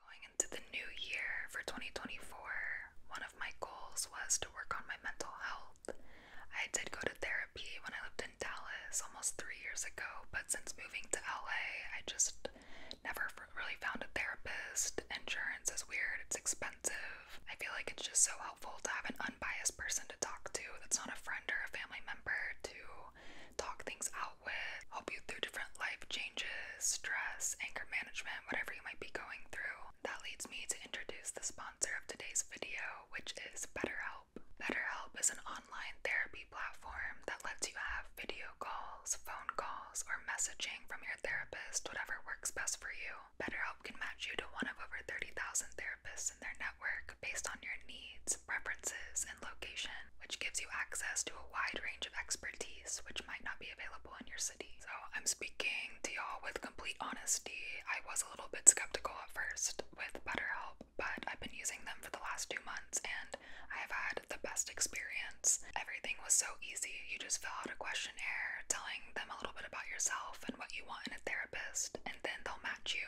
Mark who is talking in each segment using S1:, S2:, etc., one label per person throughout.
S1: Going into the new year for 2024, one of my goals was to work on my mental health. I did go to therapy when I lived in Dallas almost three years ago, but since moving to LA, I just never really found a therapist. Insurance is weird, it's expensive. I feel like it's just so helpful to have an unbiased person to talk to that's not a friend or a family member to talk things out dealt with, help you through different life changes, stress, anger management, whatever you might be going through. That leads me to introduce the sponsor of today's video, which is BetterHelp. BetterHelp is an online therapy platform that lets you have video calls, phone calls, or messaging from your therapist, whatever works best for you. BetterHelp can match you to one of over 30,000 therapists in their network based on your needs, preferences, and location which gives you access to a wide range of expertise which might not be available in your city. So I'm speaking to y'all with complete honesty. I was a little bit skeptical at first with BetterHelp, but I've been using them for the last two months and I have had the best experience. Everything was so easy. You just fill out a questionnaire telling them a little bit about yourself and what you want in a therapist, and then they'll match you.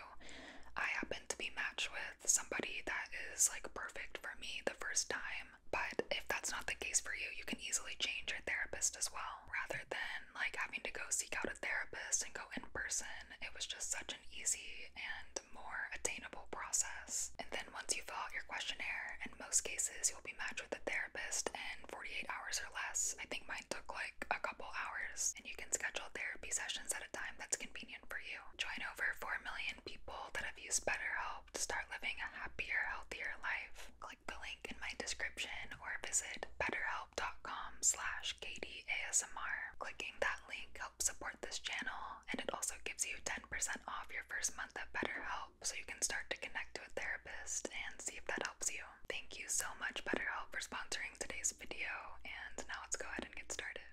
S1: I happened to be matched with somebody that is like perfect for me the first time. But if that's not the case for you, you can easily change your therapist as well. Rather than like having to go seek out a therapist and go in person, it was just such an easy and more attainable process. And then once you fill out your questionnaire, in most cases, you'll be matched with a therapist in 48 hours or less. I think mine took like a couple hours, and you can schedule therapy sessions at a time that's convenient for you. Join over 4 million people that have used BetterHelp to start living a happier, healthier life, click the link in my description or visit betterhelp.com slash katieasmr. Clicking that link helps support this channel and it also gives you 10% off your first month of BetterHelp so you can start to connect to a therapist and see if that helps you. Thank you so much BetterHelp for sponsoring today's video and now let's go ahead and get started.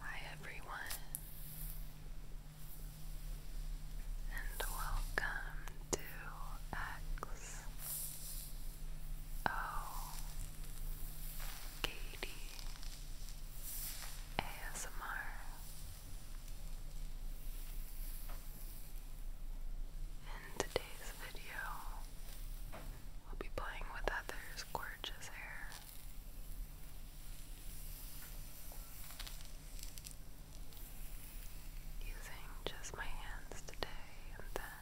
S1: Hi, everyone, and welcome to X O Katie ASMR. In today's video, we'll be playing with Heather's gorgeous hair. Using just my hands today, and then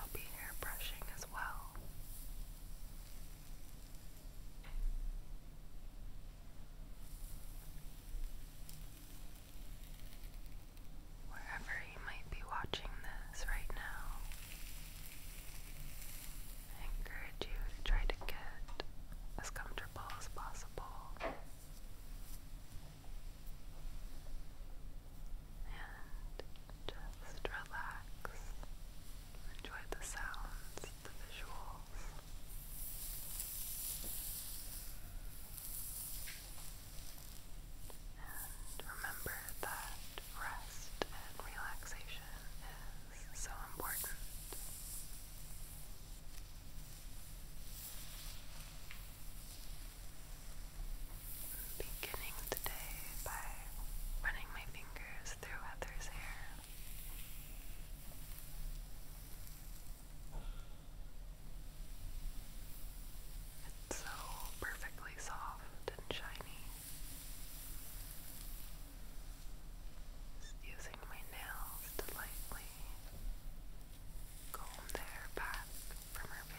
S1: I'll be hair brushing as well wherever you might be watching this right now. I encourage you to try to get as comfortable as possible and just relax, enjoy the sounds, the visuals remember that rest and relaxation is so important. Beginning today by running my fingers through Heather's hair. It's so perfectly soft and shiny. using my nails to lightly comb the hair from her face.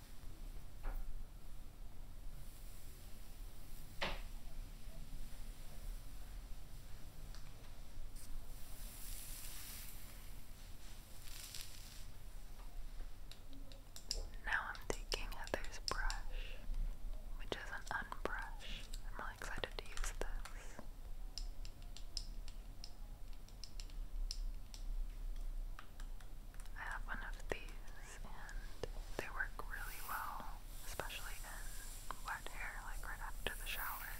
S1: Now I'm taking Heather's brush, which is an unbrush. I'm really excited to use this. I have one of these and they work really well, especially in wet hair, like right after the shower.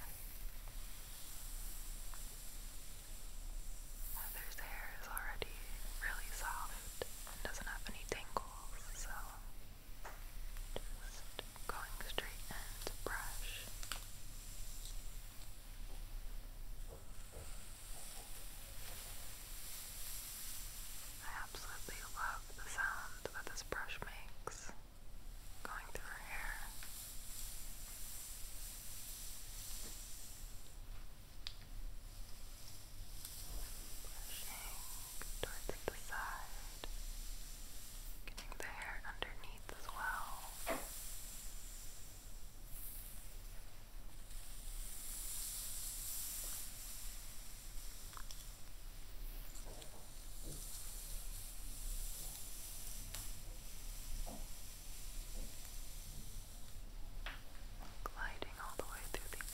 S1: Heather's hair is already really soft and doesn't have any tangles, so just going straight and brush. I absolutely love the sound that this brush makes going through her hair. Brushing towards the side, getting the hair underneath as well gliding all the way through the end.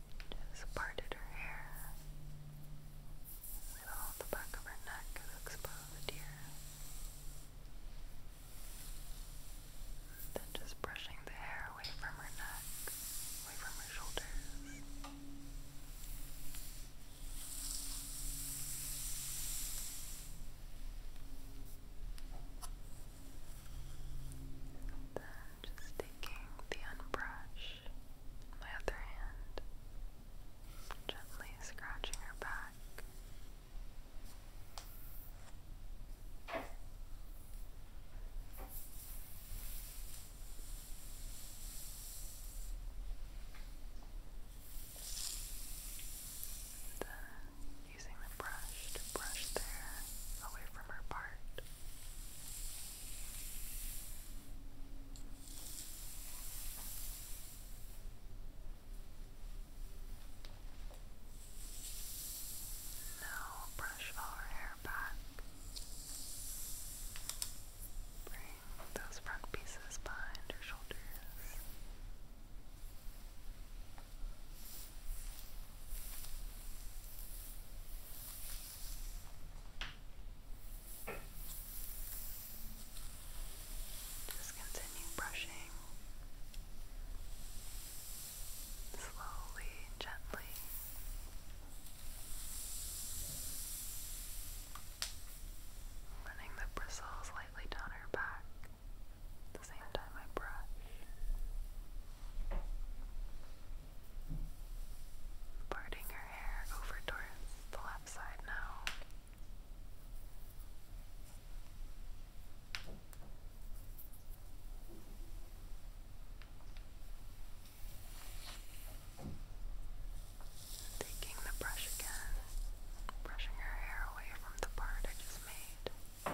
S1: just parted her hair. So the back of her neck exposed here. Then just brushing the hair away from her neck, away from her shoulders. And then just taking the unbrush my other hand, gently scratching her back. then uh, using the brush to brush there away from her part. Now brush our hair back. Bring those front pieces behind your shoulders. Just continue brushing slowly, gently. Running the bristles lightly down her back at the same time I brush. Parting her hair over towards the left side now. Taking the brush again, brushing her hair away from the part I just made.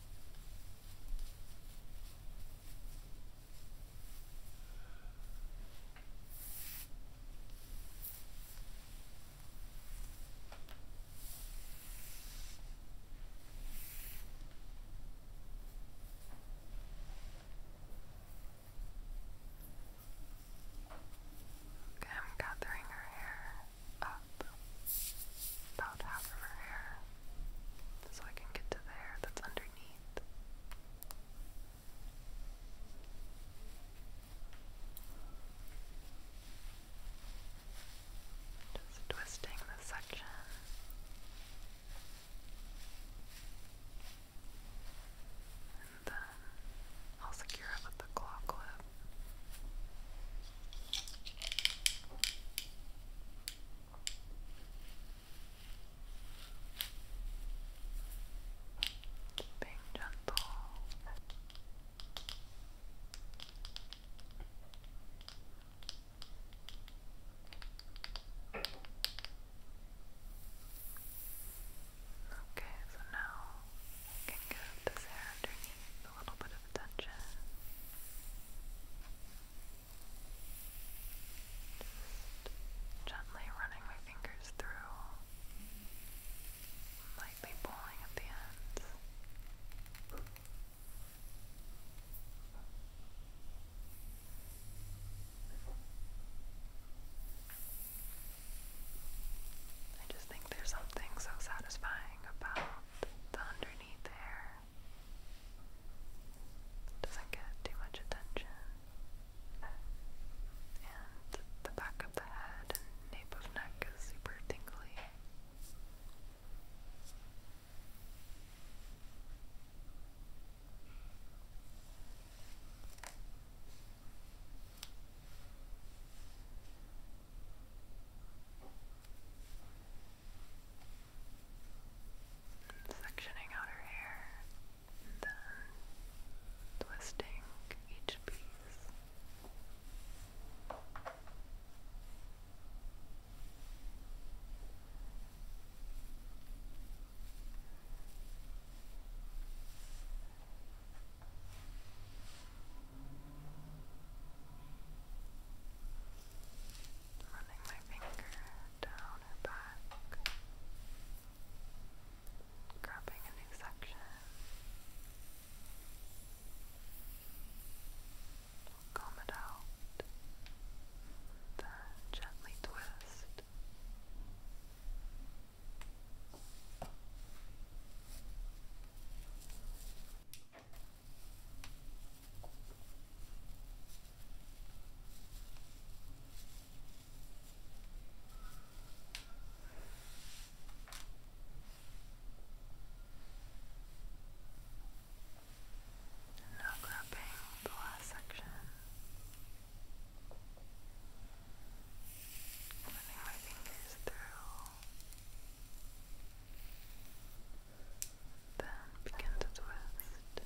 S1: Okay, I'm gathering her hair up, about half of her hair so I can get to there. That's underneath. Just twisting the section. And then I'll secure it with the claw clip. Being gentle. Okay, so now I can give this hair underneath a little bit of attention gently running my fingers through, lightly pulling at the ends. I just think there's something so satisfying about the underneath hair. Doesn't get too much attention. And the back of the head and nape of neck is super tingly sectioning out her hair then twisting each piece running my finger down her back, grabbing a new section. comb it out, then gently twist. And now grabbing the last section. Running my fingers through then begin to twist. I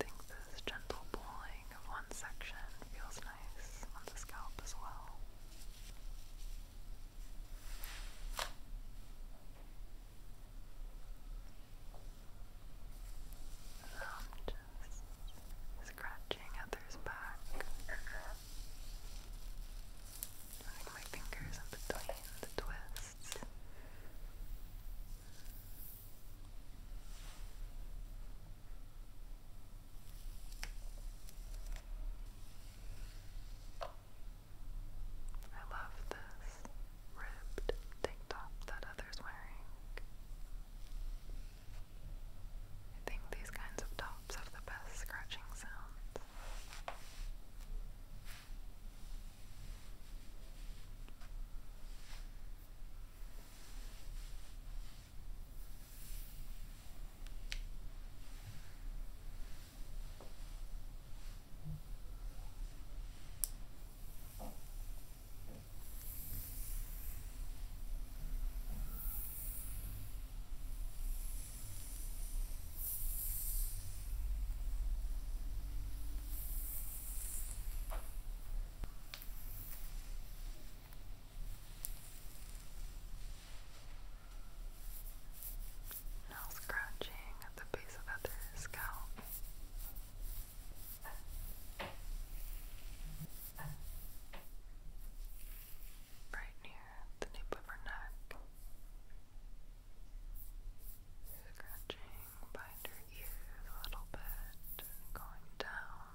S1: think this gentle pulling of one section feels nice on the scalp as well. So scratching others back. Like my fingers in between the twists. I love this ribbed tank top that Heather's wearing. I think these kinds of tops have the best scratching sounds. Now scratching at the base of other scalp. Right near the nape of her neck, scratching behind her ears a little bit, going down.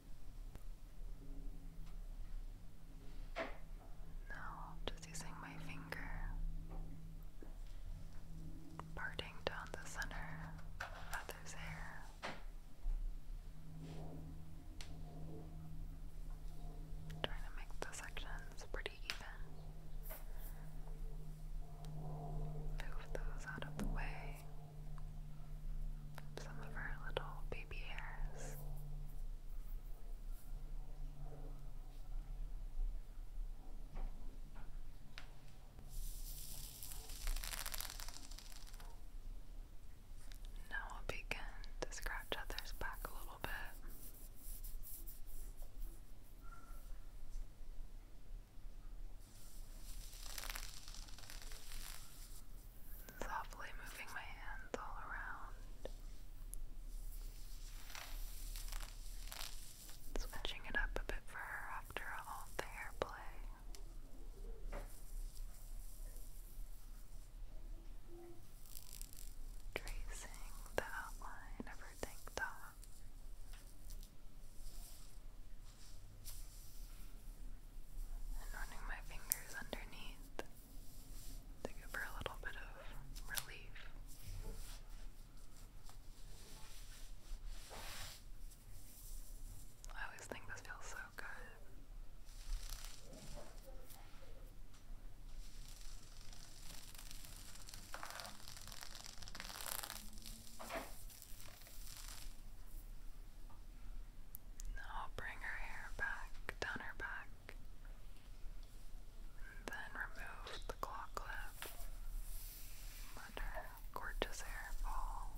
S1: Now, just using my finger, parting down the center of hair. Trying to make the sections pretty even. Move those out of the way some of our little baby hairs. Now we'll begin to scratch others back a little bit. Softly moving my hands all around, switching it up a bit for her after all the hair play. Tracing the outline of her tank top and running my fingers underneath to give her a little bit of relief. I always think this feels so good. Now bring her hair back down her back then remove the claw clip. Let her gorgeous hair fall.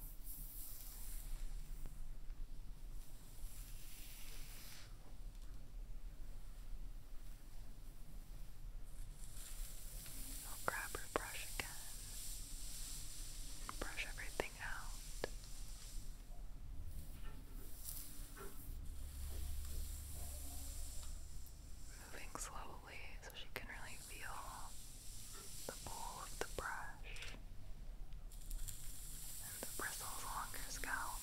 S1: I'll grab her brush again and brush everything Moving slowly so she can really feel the pull of the brush and the bristles along her scalp.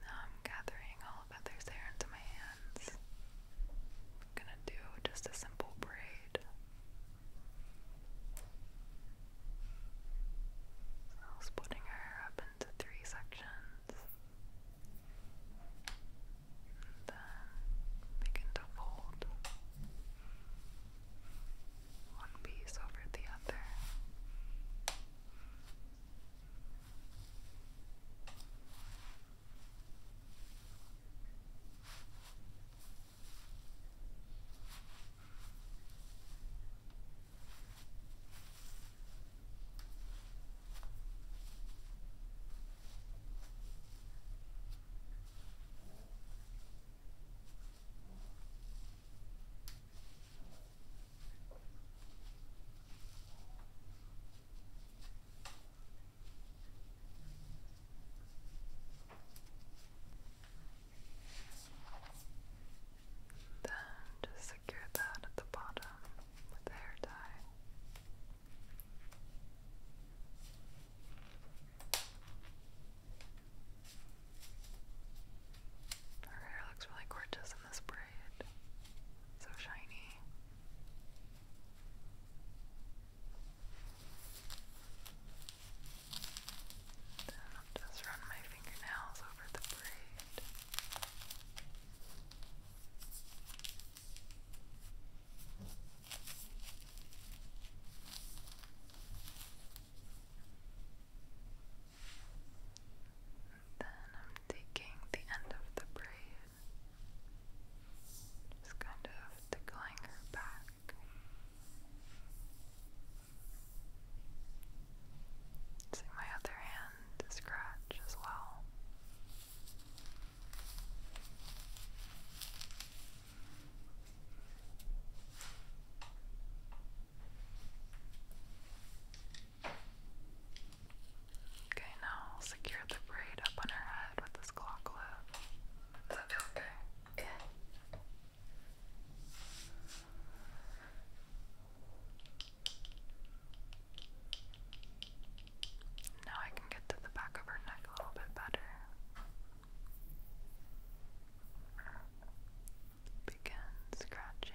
S1: Now I'm gathering all of Heather's hair into my hands. gonna do just a simple braid. So splitting her up into three sections. Then begin to fold one piece over the other. Then just secure that at the bottom with hair tie. Her hair looks really gorgeous in this braid. So shiny. just run my fingernails over the braid. And then I'm taking the end of the braid, just kind of tickling her back. See my other hand scratch as well. Okay, now I'll secure the braid up on her head with this claw clip. Does that okay? Yeah. Now I can get to the back of her neck a little bit better. Begin scratching.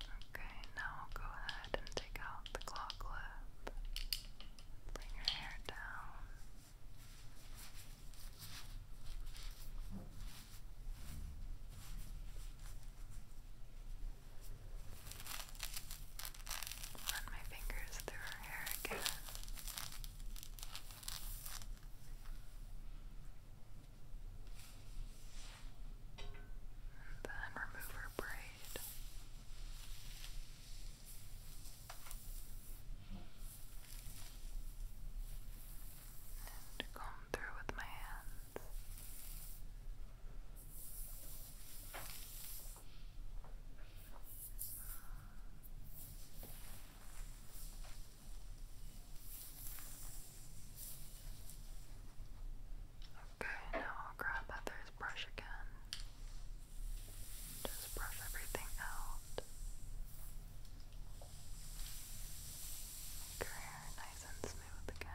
S1: Okay, now go ahead and take out the claw clip. Bring your hair down. Run my fingers through her hair again. And then remove her braid and comb through with my hands. Okay, now I'll grab other brush again. Just brush everything out. hair nice and smooth again.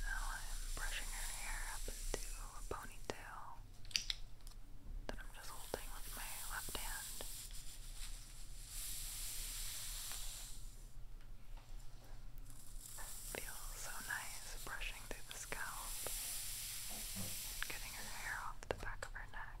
S1: Now I'm brushing her hair up into a ponytail that I'm just holding with my left hand. feels so nice brushing through the scalp and getting her hair off the back of her neck.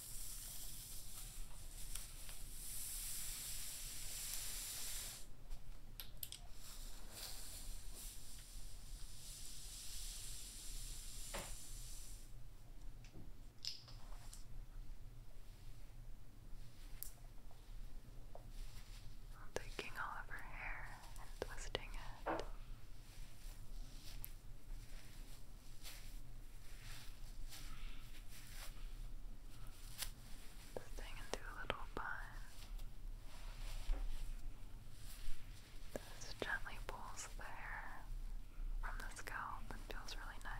S1: Taking all of her hair and twisting it. Staying into a little bun. This gently pulls the hair from the scalp and feels really nice.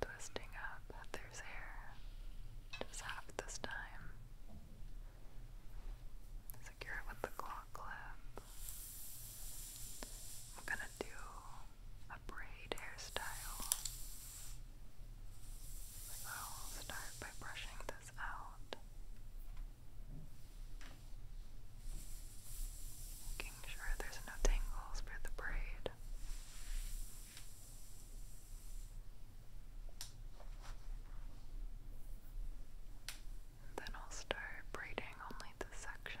S1: twisting out Heather's hair just half this time. Secure it with the claw clip. I'm gonna do a braid hairstyle. So I'll start by brushing this out. Making sure there's no tangles for the braid. then I'll start braiding only this section.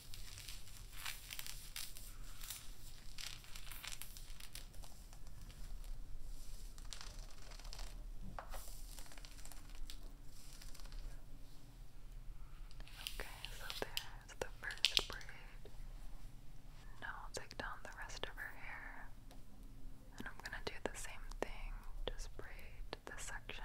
S1: Okay, so there's the first braid. Now I'll take down the rest of her hair. And I'm gonna do the same thing, just braid this section.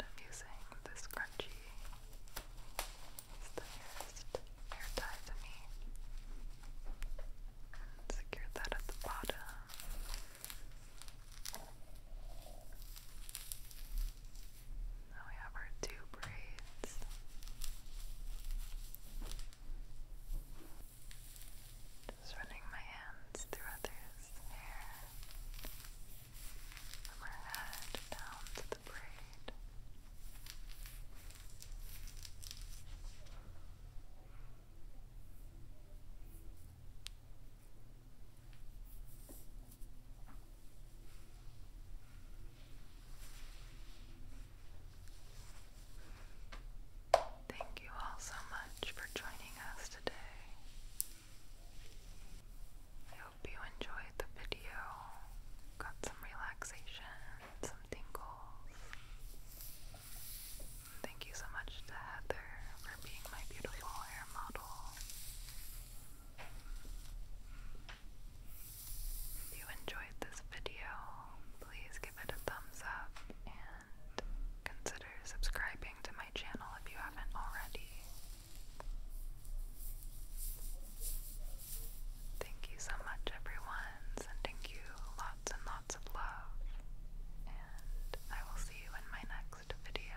S1: I'm using this scrunchie. It's the nearest hair tie to me. Secure that at the bottom. Now we have our two braids. Just running my hands through others' hair from her head down to the braid. Thank you all so much for joining us today. I hope you enjoyed the video, got some relaxation, some tingles. Thank you so much to Heather for being my beautiful hair model. If you enjoyed this video, please give it a thumbs up and consider subscribing to my channel if you haven't already. Thank you so much, everyone, and thank you lots and lots of love, and I will see you in my next video.